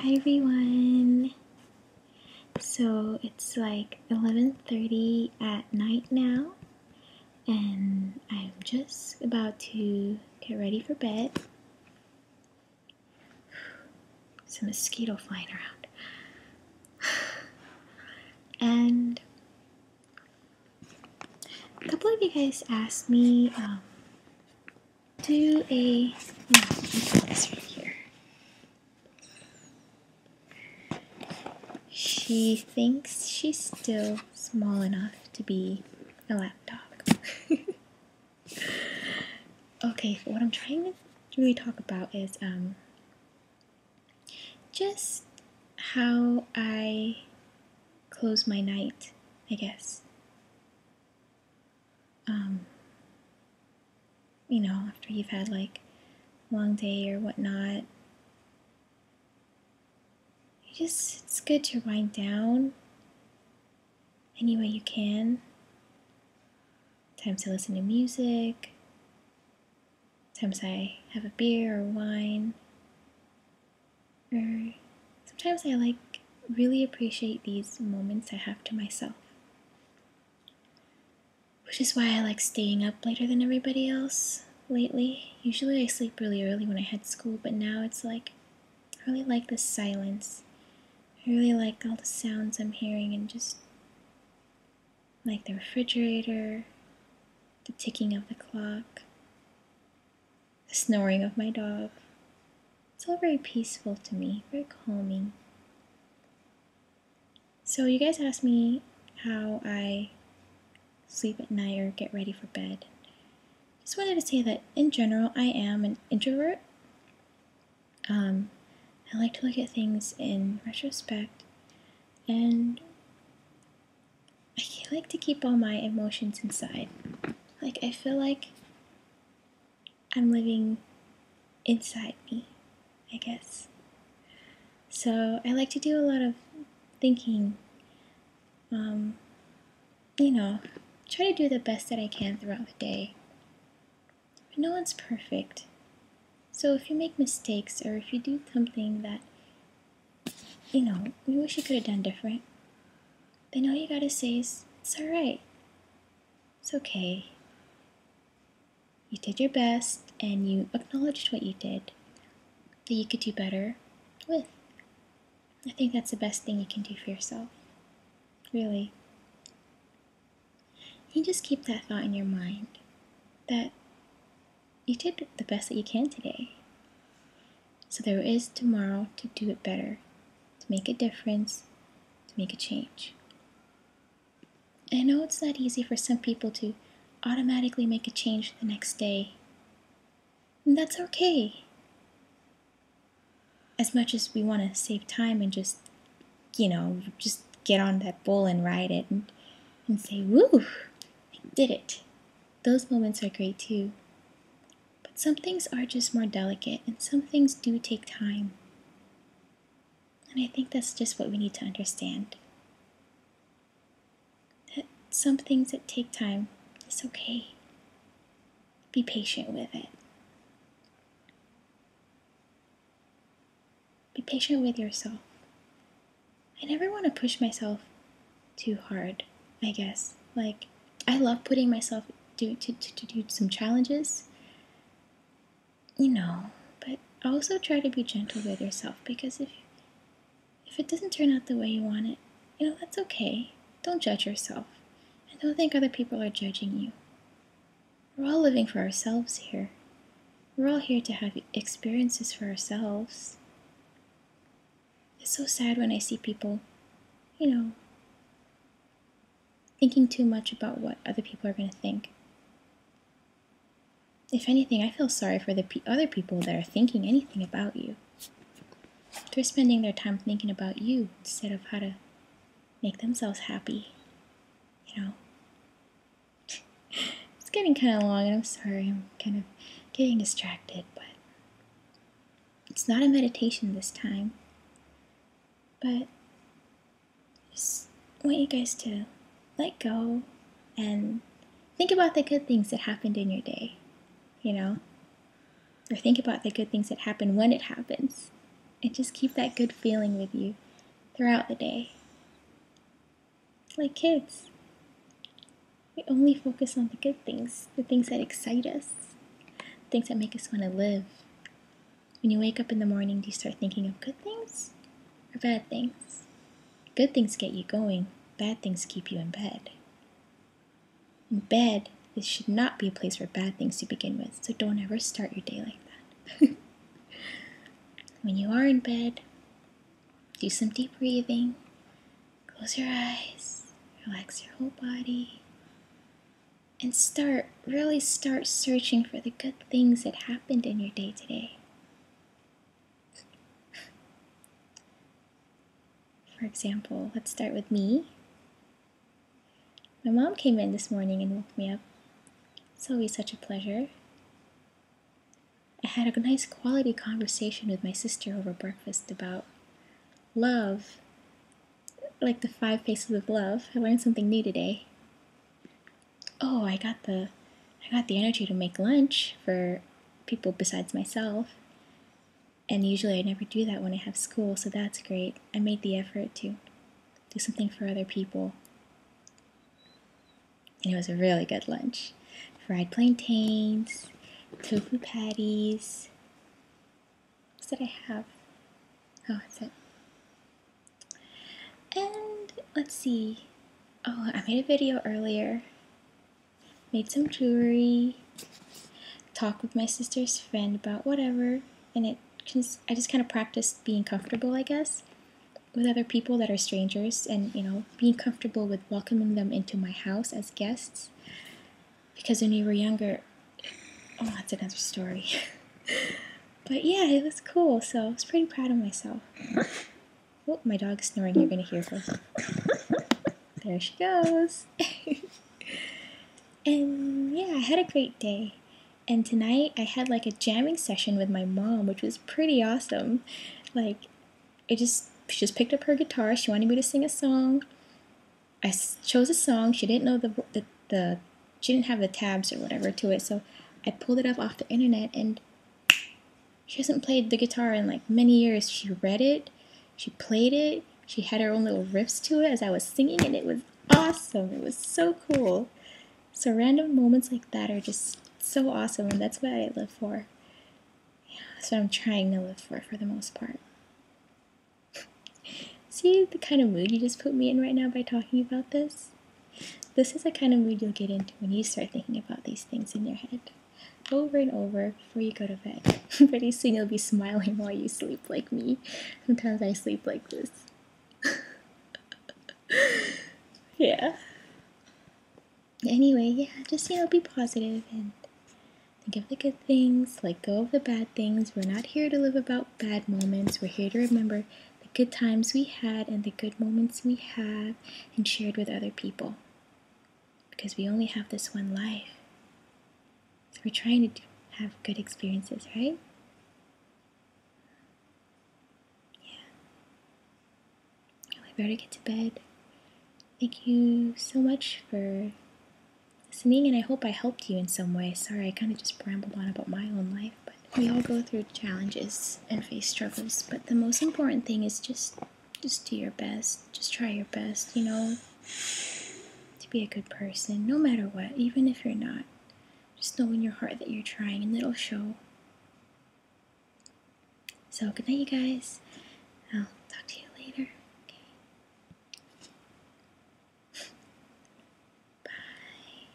Hi everyone. So it's like 11:30 at night now and I'm just about to get ready for bed. Some mosquito flying around. And a couple of you guys asked me um, do a She thinks she's still small enough to be a lapdog. okay, what I'm trying to really talk about is um just how I close my night, I guess um, you know, after you've had like a long day or whatnot, you just, it's good to wind down any way you can. Times to listen to music, times I have a beer or wine, or sometimes I like really appreciate these moments I have to myself. Which is why I like staying up later than everybody else lately. Usually I sleep really early when I had school, but now it's like I really like the silence. I really like all the sounds I'm hearing and just like the refrigerator, the ticking of the clock, the snoring of my dog. It's all very peaceful to me, very calming. So, you guys asked me how I sleep at night or get ready for bed. Just wanted to say that in general, I am an introvert. Um, I like to look at things in retrospect and I like to keep all my emotions inside. Like, I feel like I'm living inside me, I guess. So, I like to do a lot of thinking. Um, you know, try to do the best that I can throughout the day. But no one's perfect. So, if you make mistakes or if you do something that you know, we wish you could have done different. But all you gotta say is, it's alright. It's okay. You did your best and you acknowledged what you did that you could do better with. I think that's the best thing you can do for yourself. Really. You just keep that thought in your mind that you did the best that you can today. So there is tomorrow to do it better, to make a difference, to make a change. I know it's not easy for some people to automatically make a change the next day. And that's okay. As much as we want to save time and just, you know, just get on that bull and ride it and, and say, woo, I did it. Those moments are great too. But some things are just more delicate, and some things do take time. And I think that's just what we need to understand. That some things that take time it's okay. Be patient with it. Be patient with yourself. I never want to push myself too hard, I guess. Like, I love putting myself to, to, to do some challenges, you know, but also try to be gentle with yourself because if, if it doesn't turn out the way you want it, you know, that's okay. Don't judge yourself. And don't think other people are judging you. We're all living for ourselves here. We're all here to have experiences for ourselves. It's so sad when I see people, you know, thinking too much about what other people are going to think. If anything, I feel sorry for the other people that are thinking anything about you. They're spending their time thinking about you instead of how to make themselves happy, you know it's getting kind of long, and I'm sorry, I'm kind of getting distracted, but it's not a meditation this time. But just want you guys to let go and think about the good things that happened in your day, you know? Or think about the good things that happen when it happens. And just keep that good feeling with you throughout the day. Like kids, we only focus on the good things, the things that excite us, things that make us want to live. When you wake up in the morning, do you start thinking of good things or bad things? Good things get you going, bad things keep you in bed. In bed, this should not be a place for bad things to begin with, so don't ever start your day like that. When you are in bed, do some deep breathing. Close your eyes, relax your whole body, and start really start searching for the good things that happened in your day today. For example, let's start with me. My mom came in this morning and woke me up it's always such a pleasure. I had a nice quality conversation with my sister over breakfast about love, like the five faces of love. I learned something new today. Oh, I got the I got the energy to make lunch for people besides myself. And usually I never do that when I have school, so that's great. I made the effort to do something for other people. And it was a really good lunch. Fried plantains, tofu patties. What did I have? Oh, that's it. And let's see. Oh, I made a video earlier. Made some jewelry. Talked with my sister's friend about whatever. And it I just kind of practiced being comfortable, I guess, with other people that are strangers, and you know, being comfortable with welcoming them into my house as guests. Because when we were younger, oh, that's another story. but yeah, it was cool. So I was pretty proud of myself. Oh, my dog is snoring. You're gonna hear her. There she goes. and yeah, I had a great day. And tonight I had like a jamming session with my mom, which was pretty awesome. Like, it just, she just picked up her guitar. She wanted me to sing a song. I chose a song. She didn't know the, the, the she didn't have the tabs or whatever to it. So I pulled it up off the internet and she hasn't played the guitar in like many years. She read it, she played it, she had her own little riffs to it as I was singing, and it was awesome. It was so cool. So random moments like that are just so awesome, and that's what I live for. Yeah, that's what I'm trying to live for for the most part. See the kind of mood you just put me in right now by talking about this? This is the kind of mood you'll get into when you start thinking about these things in your head. Over and over before you go to bed. Pretty soon you'll be smiling while you sleep like me. Sometimes I sleep like this. yeah. Anyway, yeah, just, you know, be positive and think of the good things, let go of the bad things. We're not here to live about bad moments. We're here to remember the good times we had and the good moments we have and shared with other people. Because we only have this one life. We're trying to have good experiences, right? Yeah. I better get to bed. Thank you so much for listening, and I hope I helped you in some way. Sorry, I kind of just rambled on about my own life, but we all go through challenges and face struggles. But the most important thing is just, just do your best. Just try your best. You know, to be a good person, no matter what, even if you're not. Just know in your heart that you're trying, and it'll show. So, good night, you guys. I'll talk to you later. Okay. Bye.